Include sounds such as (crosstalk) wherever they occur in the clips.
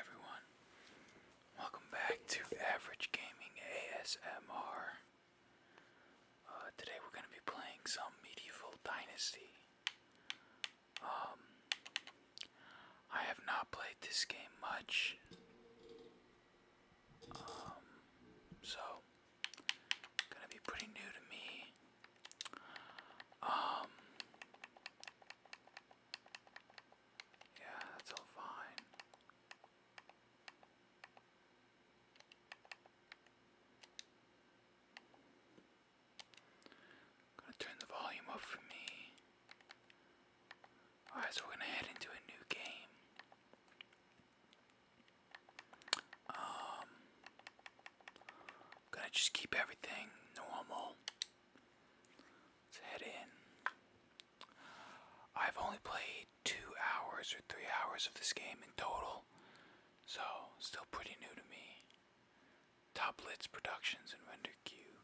everyone, welcome back to Average Gaming ASMR. Uh, today we're going to be playing some Medieval Dynasty. Um, I have not played this game much. Um, so Gonna be pretty new to me. Um. Yeah, that's all fine. gonna turn the volume up for me. Alright, so we're gonna head into a new game. Um, gonna just keep everything normal. head in. I've only played two hours or three hours of this game in total, so still pretty new to me. Top Lids Productions and RenderCube.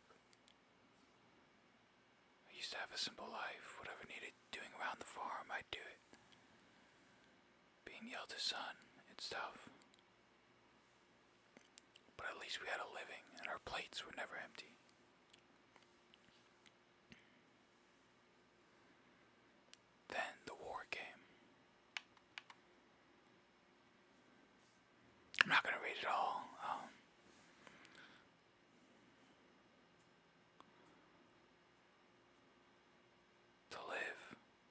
I used to have a simple life. Whatever needed doing around the farm, I'd do it being yelled eldest son, it's tough. But at least we had a living and our plates were never empty. Then the war came. I'm not going to read it all. Um, to live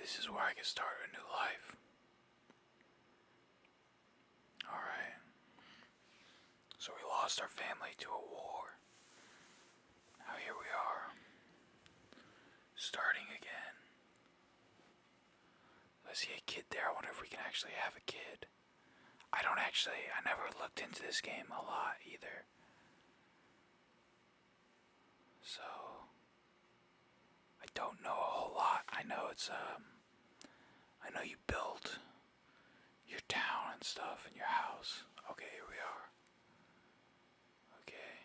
This is where I can start a new life. Alright. So we lost our family to a war. Now here we are. Starting again. I see a kid there. I wonder if we can actually have a kid. I don't actually, I never looked into this game a lot either. So, I don't know a whole lot. I know it's, um, I know you build your town and stuff and your house. Okay, here we are. Okay.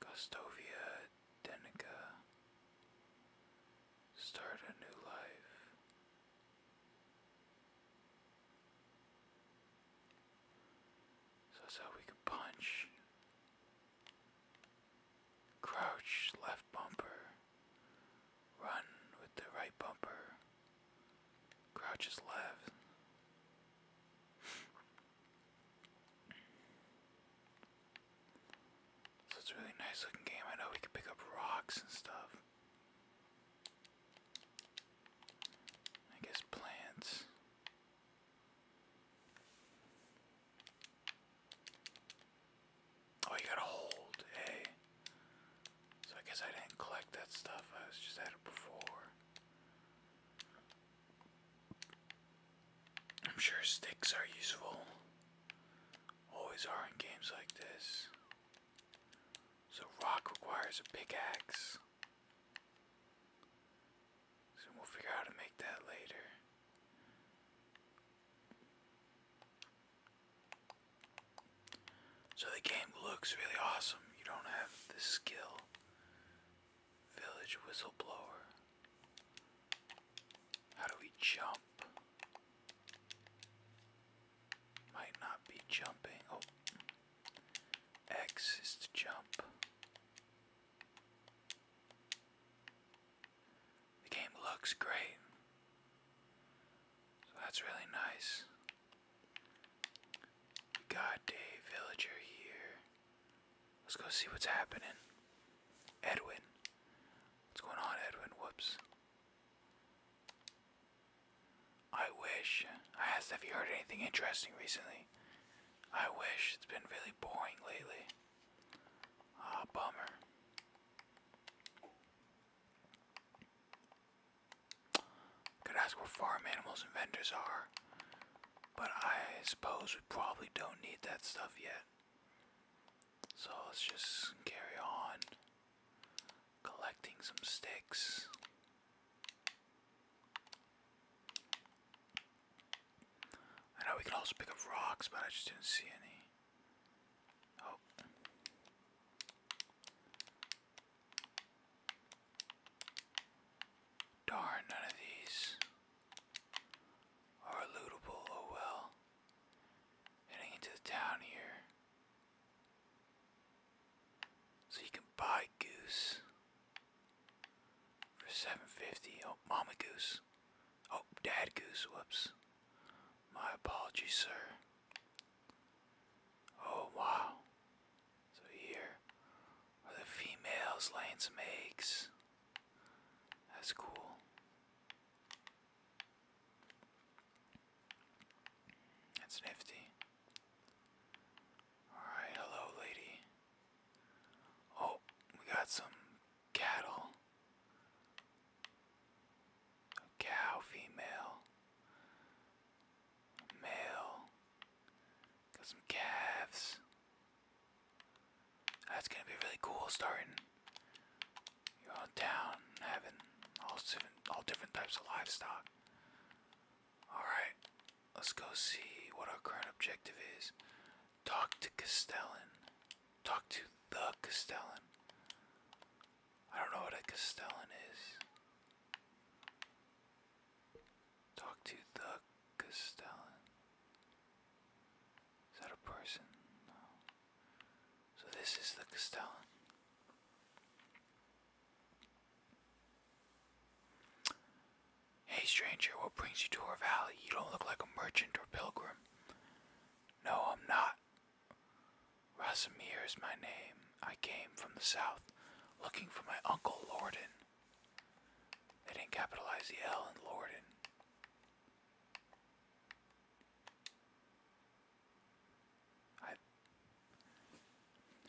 Gustovia Denica. Start a new life. So that's we can punch. Crouch, left bumper. Run with the right bumper. Crouch left. So it's a really nice looking game. I know we can pick up rocks and stuff. I guess plants. Oh, you gotta hold, hey. Eh? So I guess I didn't collect that stuff. I was just at it before. I'm sure sticks are useful. Always are in games like this. So rock requires a pickaxe. So we'll figure out how to make that later. So the game looks really awesome. You don't have the skill. Village whistleblower. How do we jump? Might not be jumping. Oh, X is to jump. The game looks great. that's really nice. We villager here. Let's go see what's happening. Edwin. What's going on, Edwin? Whoops. I wish. I asked if you heard anything interesting recently. I wish. It's been really boring lately. Ah, oh, bummer. Could ask where farm animals and vendors are, but I suppose we probably don't need that stuff yet. So let's just carry on collecting some sticks. I know we can also pick up rocks, but I just didn't see any. Oh. Darn, none of these. Are lootable, oh well. Heading into the town here. So you can buy goose for 750. Oh, mama goose. Oh, dad goose, whoops. My apologies, sir. Oh, wow. So here the females laying some eggs. That's cool. That's nifty. Alright, hello, lady. Oh, we got some cattle. A cow, female, male. Got some calves. That's gonna be really cool starting your own town, having all different, all different types of livestock. Alright, let's go see what our current objective is. Talk to Castellan. Talk to the Castellan. I don't know what a Castellan is. Talk to the Castellan. Is that a person? So this is the Castellan. Hey stranger, what brings you to our valley? You don't look like a merchant or pilgrim. No, I'm not. Rasimir is my name. I came from the south, looking for my uncle Lorden. They didn't capitalize the L in Lorden.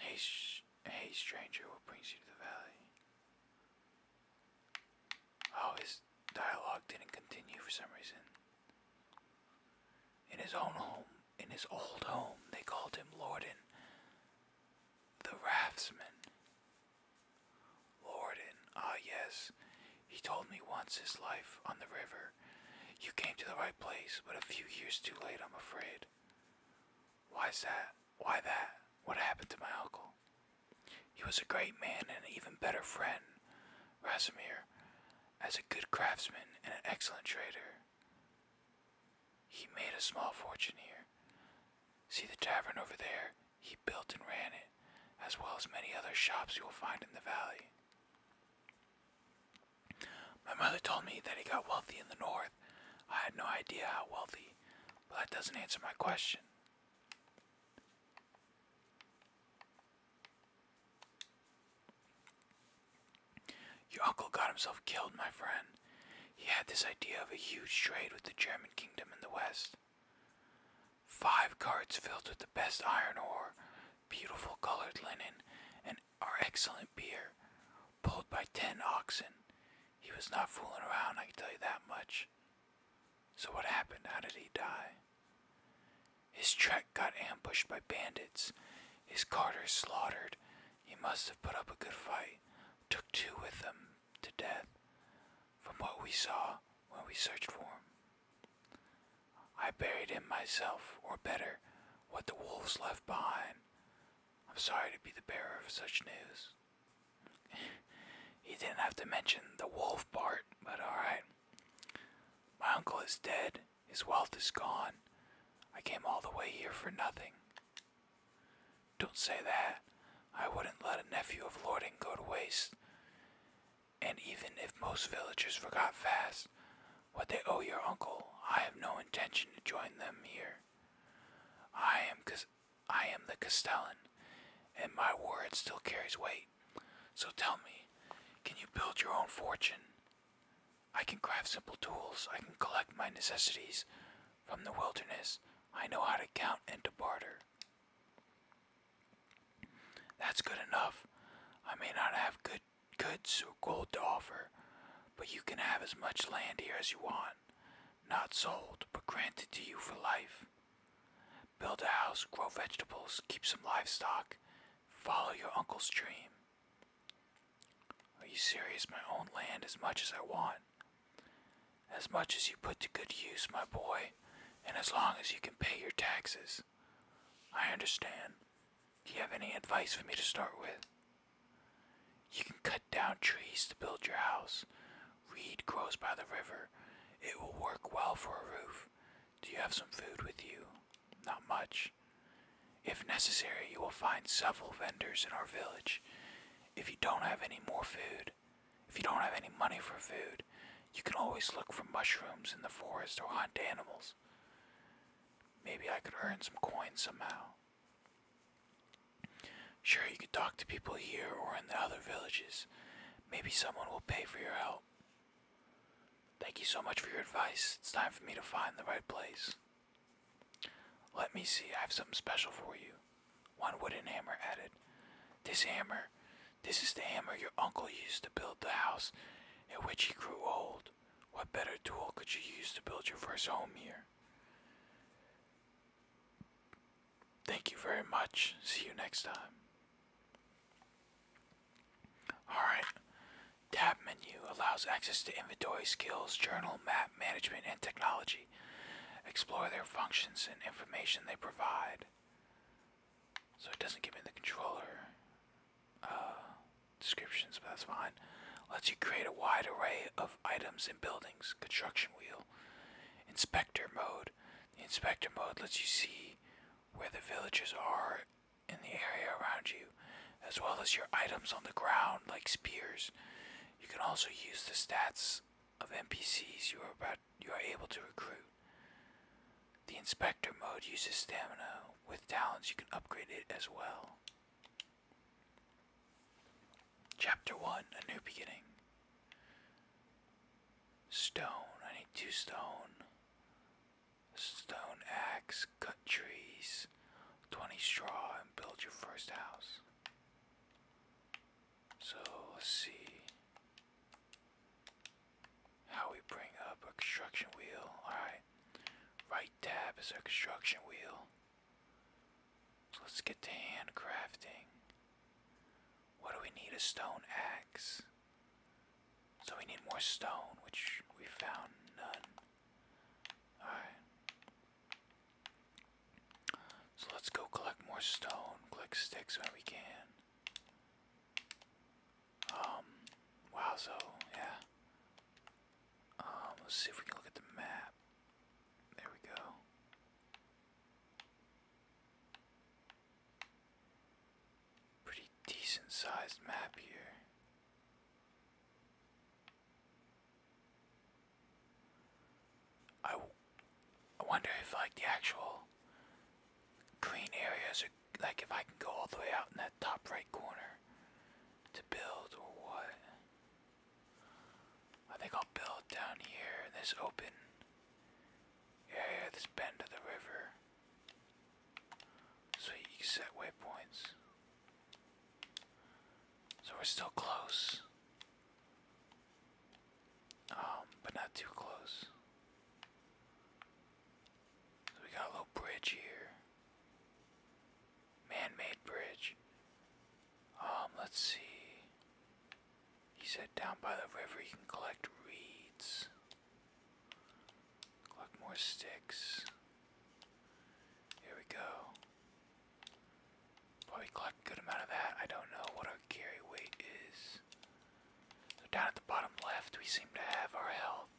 Hey, sh hey, stranger, what brings you to the valley? Oh, his dialogue didn't continue for some reason. In his own home, in his old home, they called him Lorden the Raftsman. Lord, and ah yes, he told me once his life on the river. You came to the right place, but a few years too late, I'm afraid. Why's that? Why that? What happened to my uncle? He was a great man and even better friend, Rasimir, as a good craftsman and an excellent trader. He made a small fortune here, See the tavern over there? He built and ran it, as well as many other shops you will find in the valley. My mother told me that he got wealthy in the north. I had no idea how wealthy, but that doesn't answer my question. Your uncle got himself killed, my friend. He had this idea of a huge trade with the German kingdom in the west. Five carts filled with the best iron ore, beautiful colored linen, and our excellent beer, pulled by ten oxen. He was not fooling around, I can tell you that much. So, what happened? How did he die? His trek got ambushed by bandits, his carters slaughtered. He must have put up a good fight, took two with him to death from what we saw when we searched for him. I buried him myself, or better, what the wolves left behind. I'm sorry to be the bearer of such news. (laughs) he didn't have to mention the wolf part, but alright. My uncle is dead, his wealth is gone. I came all the way here for nothing. Don't say that. I wouldn't let a nephew of Lording go to waste. And even if most villagers forgot fast what they owe your uncle, I have no intention to join them here. I am, I am the Castellan, and my word still carries weight. So tell me, can you build your own fortune? I can craft simple tools. I can collect my necessities from the wilderness. I know how to count and to barter. That's good enough. I may not have good goods or gold to offer, but you can have as much land here as you want, not sold, but granted to you for life. Build a house, grow vegetables, keep some livestock, follow your uncle's dream. Are you serious? My own land as much as I want. As much as you put to good use, my boy, and as long as you can pay your taxes. I understand. Do you have any advice for me to start with? You can cut down trees to build your house. Reed grows by the river. It will work well for a roof. Do you have some food with you? Not much. If necessary, you will find several vendors in our village. If you don't have any more food, if you don't have any money for food, you can always look for mushrooms in the forest or hunt animals. Maybe I could earn some coins somehow. Sure, you could talk to people here or in the other villages. Maybe someone will pay for your help. Thank you so much for your advice. It's time for me to find the right place. Let me see, I have something special for you. One wooden hammer added. This hammer, this is the hammer your uncle used to build the house in which he grew old. What better tool could you use to build your first home here? Thank you very much. See you next time. Alright. Tab menu allows access to inventory, skills, journal, map, management, and technology explore their functions and information they provide. So it doesn't give me the controller uh, descriptions, but that's fine. Lets you create a wide array of items and buildings. Construction wheel. Inspector mode. The inspector mode lets you see where the villagers are in the area around you, as well as your items on the ground like spears. You can also use the stats of NPCs you are about you are able to recruit. The inspector mode uses stamina. With talents, you can upgrade it as well. Chapter 1 A New Beginning. Stone. I need two stone. Stone axe. Cut trees. 20 straw and build your first house. So let's see how we bring up a construction wheel. Alright, right tab is our construction wheel. let's get to handcrafting. What do we need? A stone axe. So we need more stone, which we found none. Alright. So let's go collect more stone, collect sticks when we can. Um, wow, so, yeah. Um, let's see if we can look at the map. There we go. Pretty decent sized map here. I, I wonder if like the actual green areas are like if I can go all the way out in that top right corner to build or what. I think I'll build down here in this open area, this bend of the river. So you can set waypoints. So we're still close. Um, but not too close. we got a little bridge here. Man-made bridge. Um, let's see. He said down by the river you can collect reeds. Collect more sticks. Here we go. Probably collect a good amount of that. I don't know what our carry weight is. So down at the bottom left, we seem to have our health,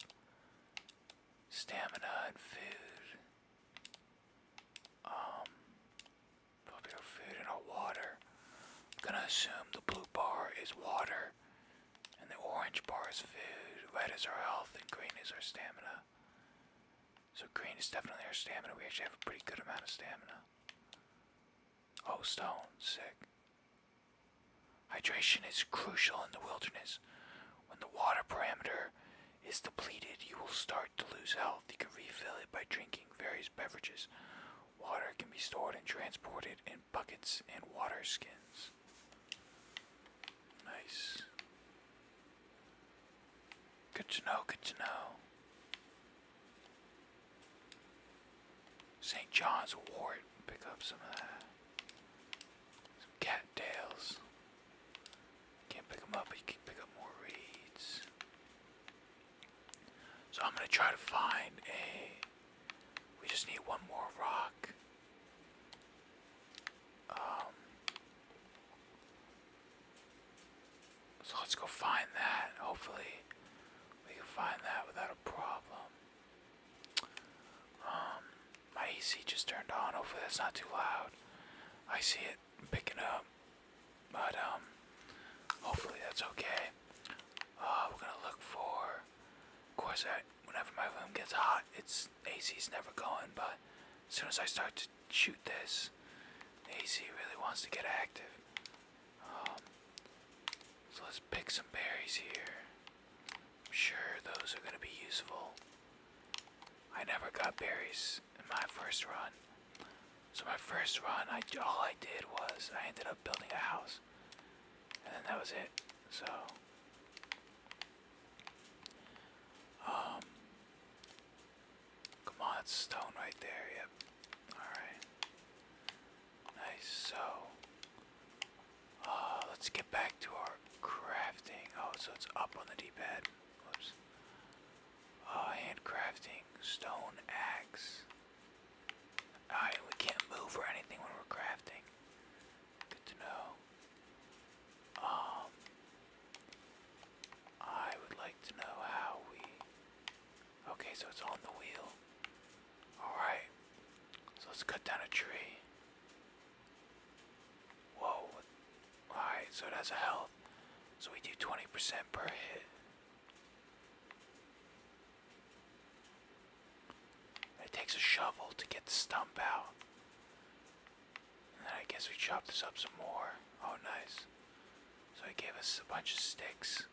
stamina, and food. Um, probably our food and our water. gonna assume the blue bar is water, and the orange bar is food. Red is our health, and green is our stamina. So green is definitely our stamina. We actually have a pretty good amount of stamina. Oh, stone, sick. Hydration is crucial in the wilderness. When the water parameter is depleted, you will start to lose health. You can refill it by drinking various beverages. Water can be stored and transported in buckets and water skins. Nice. Good to know, good to know. St. John's wort, pick up some of that. Some cattails. Can't pick them up, but can pick up more reeds. So I'm gonna try to find a. We just need one more rock. Um, so let's go find that. Hopefully, we can find that without a problem. Um, my AC just turned on. Hopefully, that's not too loud. I see it picking up, but um, hopefully that's okay. Uh, we're gonna look for. Of course, I, whenever my room gets hot, it's AC is never going. But as soon as I start to shoot this. AC really wants to get active. Um, so let's pick some berries here. I'm sure those are going to be useful. I never got berries in my first run. So my first run, I, all I did was I ended up building a house. And then that was it. So... Um, Come on, stone right there. Yep. Alright. Nice. So, uh, let's get back to our crafting. Oh, so it's up on the D-pad. Whoops. Uh, handcrafting. Stone axe. Alright, we can't move or anything when we're crafting. Good to know. Um, I would like to know how we. Okay, so it's on the wheel. Alright. So let's cut down a tree. Whoa. Alright, so it has a health. So we do 20% per hit. It takes a shovel to get the stump out. And then I guess we chop this up some more. Oh, nice. So he gave us a bunch of sticks.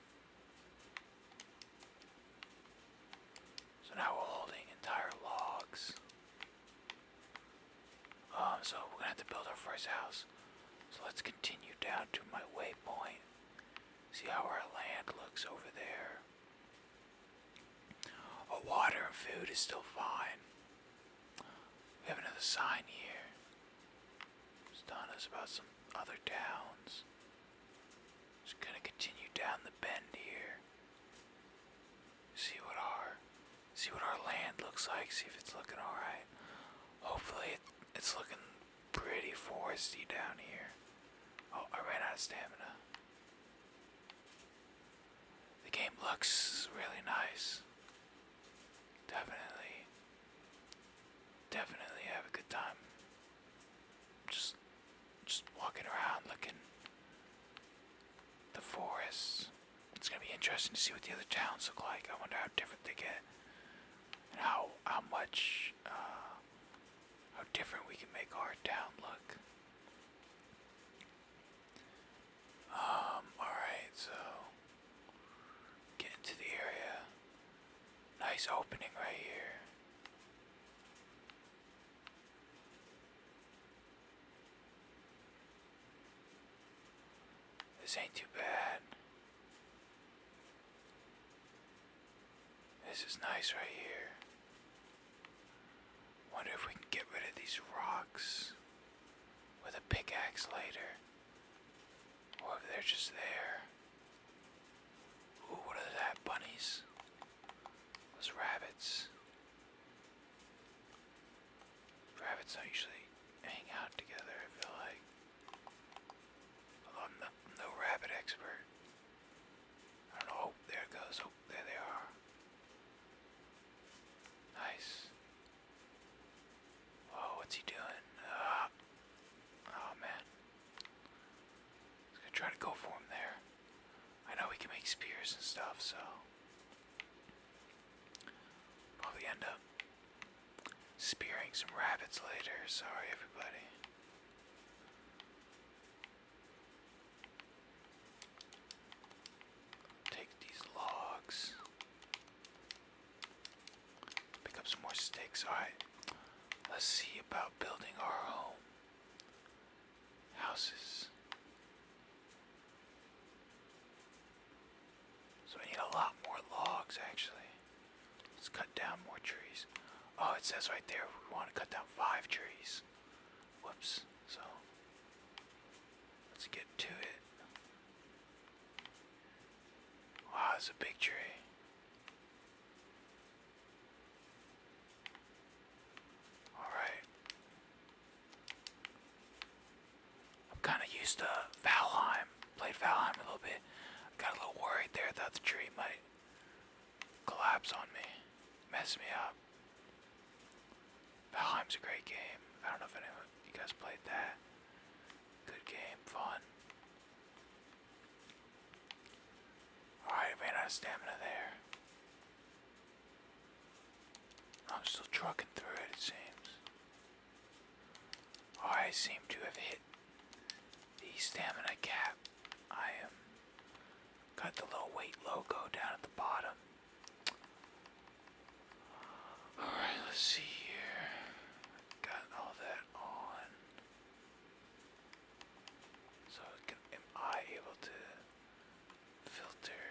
So now we're holding entire logs. Um, so we're gonna have to build our first house. So let's continue down to my waypoint. See how our land looks over there. Oh, water and food is still fine. We have another sign here. It's telling us about some other towns. Just gonna continue down the bend here. See what our see what our land looks like. See if it's looking alright. Hopefully it's looking pretty foresty down here. Oh, I ran out of stamina. The game looks really nice. Definitely, definitely have a good time. Just, just walking around looking the forest. It's gonna be interesting to see what the other towns look like. I wonder how different they get, how how much uh, how different we can make our town look. Um. All right. So. Get into the area. Nice opening right here. This ain't too bad. This is nice right here. Wonder if we can get rid of these rocks with a pickaxe later. Or they're just there. Ooh, what are that? Bunnies? Those rabbits. Rabbits don't usually hang out together, I feel like. I'm, no rabbit expert. Oh, there it goes. Oh, there they are. Nice. Oh, what's he doing? Uh, oh man. He's gonna try to go for him there. I know we can make spears and stuff, so. Probably end up spearing some rabbits later. Sorry, everybody. Take these logs. Pick up some more sticks. Alright. Let's see about building our home. Houses. So we need a lot more logs actually. Let's cut down more trees. Oh, it says right there we want to cut down five trees. Whoops. So let's get to it. Wow, it's a big tree. Alright. I'm kind of used to Valheim. Played Valheim a little bit. Got a little worried there Thought the tree might collapse on me, mess me up. Valheim's a great game. I don't know if anyone you guys played that. Good game, fun. Alright, ran out of stamina there. I'm still trucking through it, it seems. Oh, I to have hit the stamina cap. I am got the little weight logo down at the bottom. All right, let's see here. Got all that on. So am I able to filter?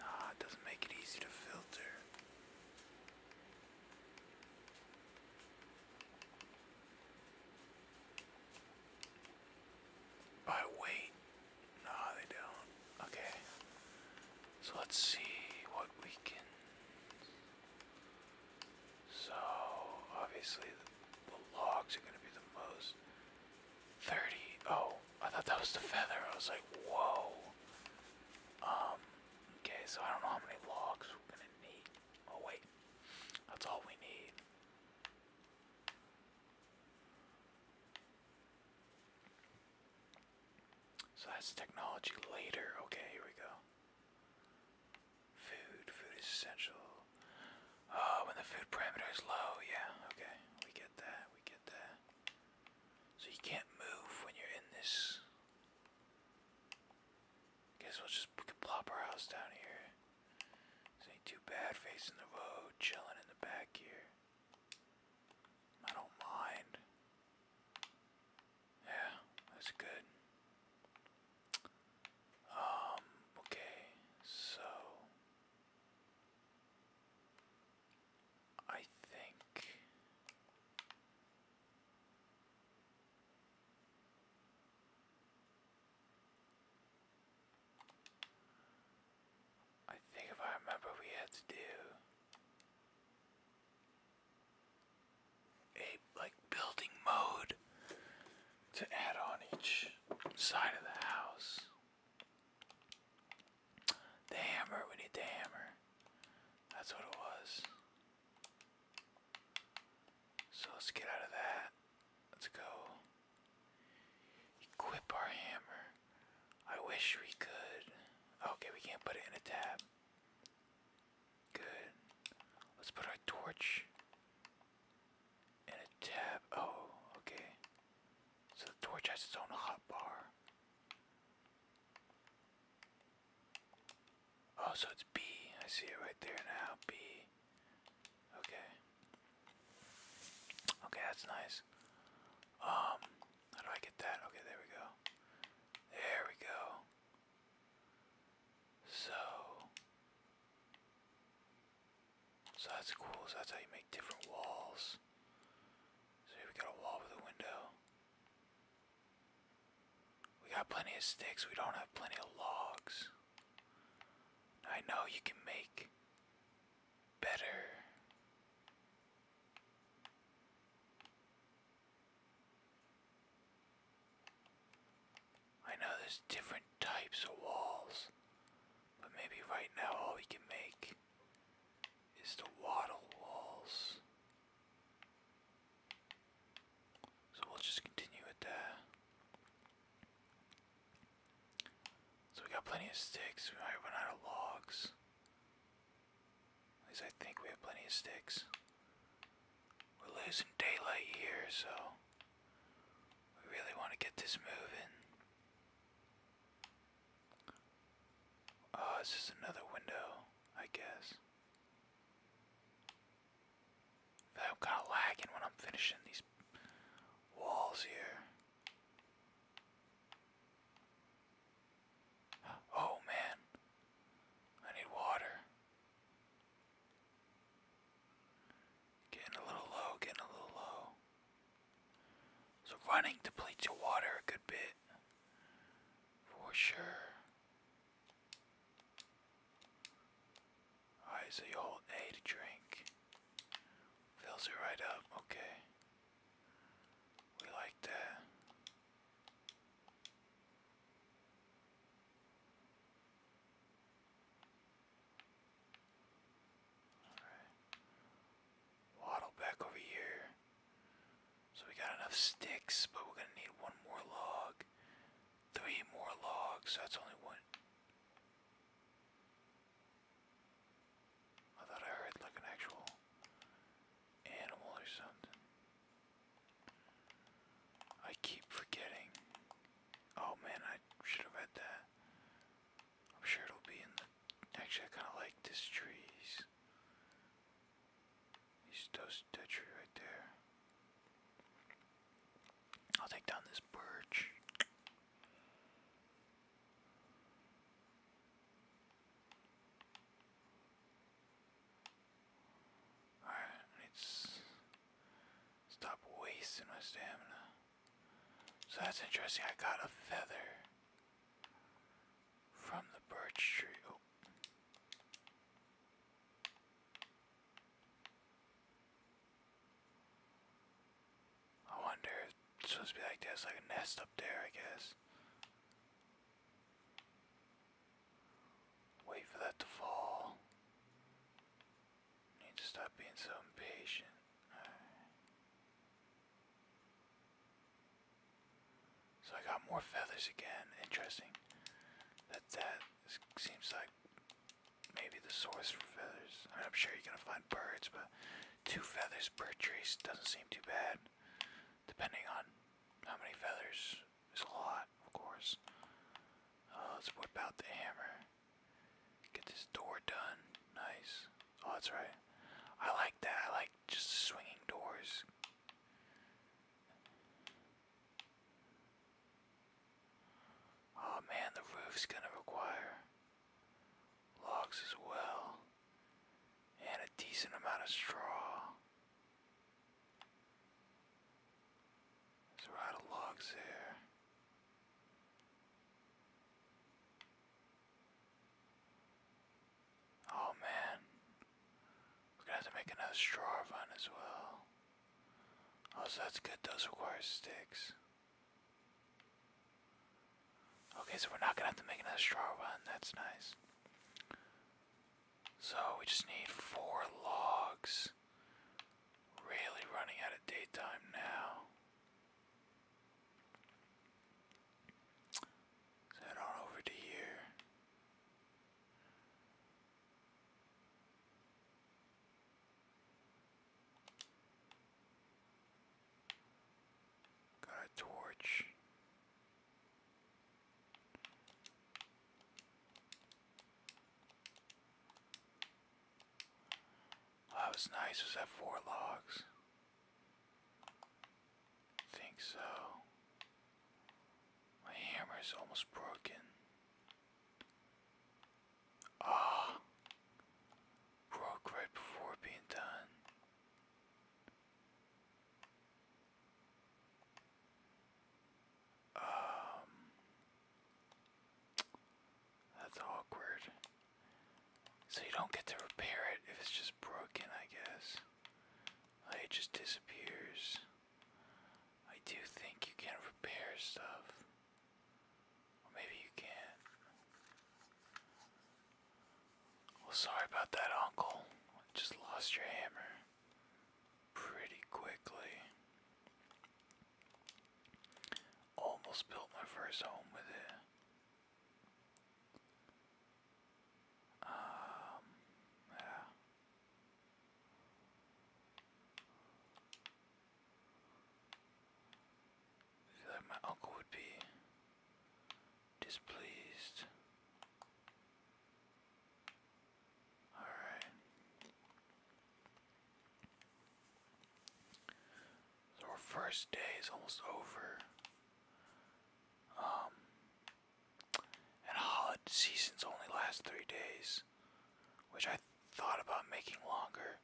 Nah, it doesn't make it easy to filter. By weight, no, they don't. Okay. So let's see what we can. So obviously the, logs are going to be the most. 30. Oh, I thought that was the feather. I was like, whoa. Um, okay, so I don't know how many logs we're going to need. Oh, wait. That's all we need. So that's technology later. Okay, here we go. Food. Food is essential. Oh, when the food parameter is low. Yeah, okay. We get that. We get that. So you can't move when you're in this. Guess we'll just we plop our house down here. This ain't too bad facing the road, chilling in the back here. I don't mind. Yeah, that's good. Um, okay, so I think I think if I remember, we had to do a like building mode to add on each side of the house. The hammer, we need the hammer. That's what it was. So let's get out of that. Let's go equip our hammer. I wish we could. Okay, we can't put it in a tab. Good. Let's put our torch in a tab. Oh, okay. So the torch has its own hotbar. Oh, so it's B. I see it right there now. B. Okay. Okay, that's nice. Um, how do I get that? Okay, there we go. There we go. So, so that's cool. So that's how you make different walls. So we got a wall with a window. We got plenty of sticks. We don't have plenty of logs. I know you can make better. I know there's different types of walls, but maybe right now all we can make is the wattle walls. So we'll just continue with that. So we got plenty of sticks. We might run out of logs. At least I think we have plenty of sticks. We're losing daylight here, so we really want to get this moving. Oh, uh, it's just another window, I guess. I'm kind of lagging when I'm finishing these walls here. Oh man, I need water. Getting a little low, getting a little low. So running depletes your water a good bit. For sure. Alright, so you hold A to drink. Fills you right up, okay. We like that. Alright. Waddle back over here. So we got enough sticks, but we're gonna need one more log. Three more logs, so that's only one. I thought I heard like an actual animal or something. I keep forgetting. Oh man, I should have read that. I'm sure it'll be in the. Actually, I kind of like this tree. He's, he's tree right there. I'll take down this birch. Alright, I need stop wasting my stamina. So that's interesting. I got a feather from the birch tree. Oh. I wonder if it's supposed to be like there's like a nest up there, I guess. Wait for that to fall. Need to stop being so impatient. So I got more feathers again. Interesting. That that seems like maybe the source for feathers. I mean, I'm sure you're gonna find birds, but Two feathers per tree doesn't seem too bad. Depending on how many feathers. There's a lot, of course. Uh, let's whip out the hammer. Get this door done. Nice. Oh, that's right. I like that. I like just swinging doors. Oh man, the roof's gonna require logs as well, and a decent amount of straw. There's a lot of logs there. Oh man, we're gonna have to make another straw run as well. Also, oh, that's good, those require sticks. Okay, so we're not gonna have to make another straw one. That's nice. So we just need four logs. Really running out of daytime now. head on over to here. Got a torch. that was nice. Was that four logs? think so. My hammer is almost broken. Ah, oh, broke right before being done. Um, that's awkward. So you don't get to repair it if it's just broken, I guess. it just disappears. I do think you can repair stuff. Or maybe you can Well, sorry about that, uncle. Just lost your hammer pretty quickly. Almost built my first home with it. Um, yeah. Like my uncle would be displeased. Alright. our first day is almost over. Um and holiday seasons only last three days. Which I thought about making longer.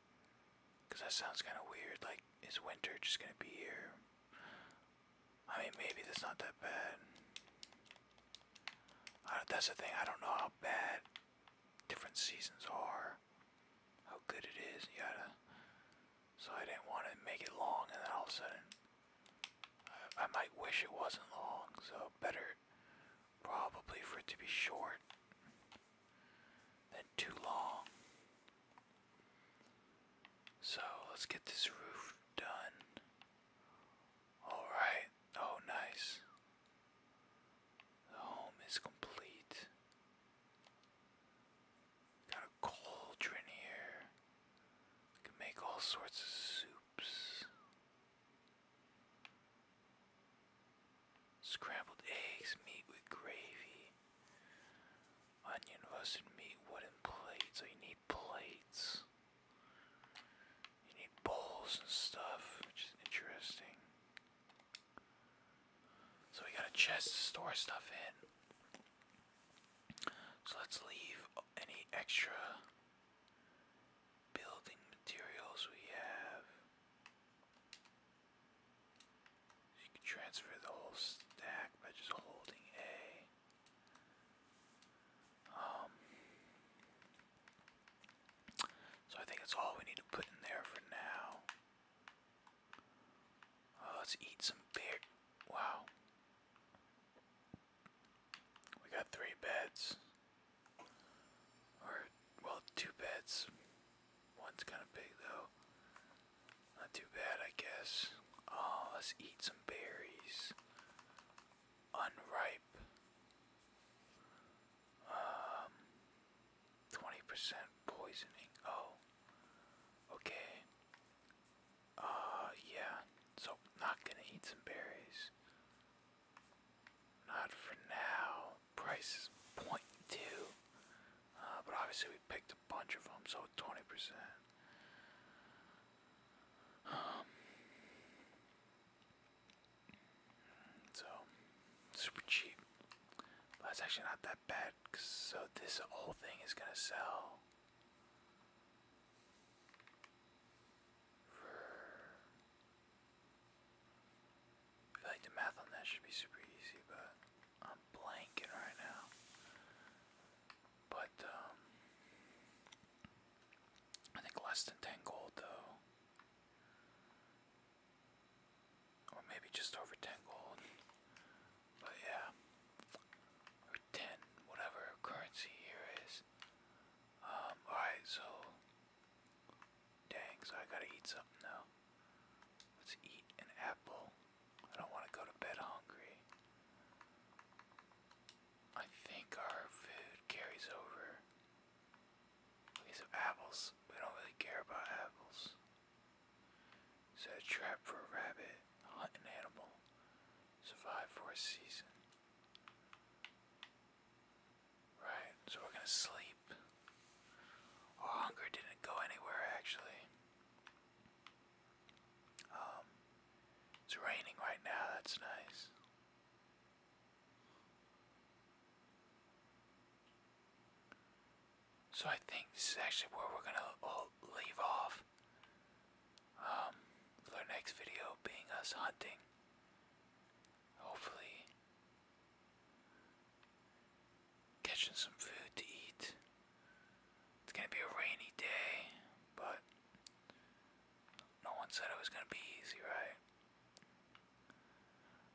Because that sounds kind of weird. Like, is winter just going to be here? I mean, maybe that's not that bad. that's the thing. I don't know how bad different seasons are, how good it is, Yeah. So I didn't want to make it long, and then all of a sudden, I might wish it wasn't long. So better, probably for it to be short than too long. So let's get this roof done. Alright, oh nice. The home is complete. Got a cauldron here. Can make all sorts of soups. Scrambled eggs, meat with gravy. Onion roasted meat, wooden plates. So you need plates. You need bowls and stuff, which is interesting. So we got a chest to store stuff in. So let's leave any extra building materials we have. You can transfer the whole stack by just holding A. Um, so I think that's all we need to put in there for now. Oh, let's eat some beer. Wow. We got three beds. Or, well, two beds. One's kind of big though. Not too bad, I guess. Oh, let's eat some berries. Unripe. Um, 20% poisoning. Oh, okay. Uh, yeah. So, not gonna eat some berries. Not for now price is 0.2 uh, but obviously we picked a bunch of them so 20% um, so super cheap that's actually not that bad so this whole thing is gonna sell I feel the math on that should be super easy, but I'm blanking right now. But, um, I think less than 10 gold though. Or maybe just over 10 gold. But yeah. 10, whatever currency here is. Um, alright, so Dang, so I gotta eat something though. Let's eat an apple. I don't want to go to bed hungry. I think our food carries over. Okay, so apples. We don't really care about apples. Set a trap for a rabbit. Hunt an animal. Survive for a season. Right, so we're gonna sleep. Our oh, hunger didn't go anywhere actually. Um, it's raining right now, that's nice. So I think this is actually where we're gonna all leave off. Um, our next video being us hunting. Hopefully, Catching some food to eat. It's gonna be a rainy day, but no one said it was gonna be easy, right?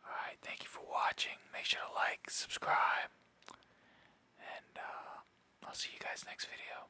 Alright, thank you for watching. Make sure to like, subscribe, and uh, I'll see you guys next video.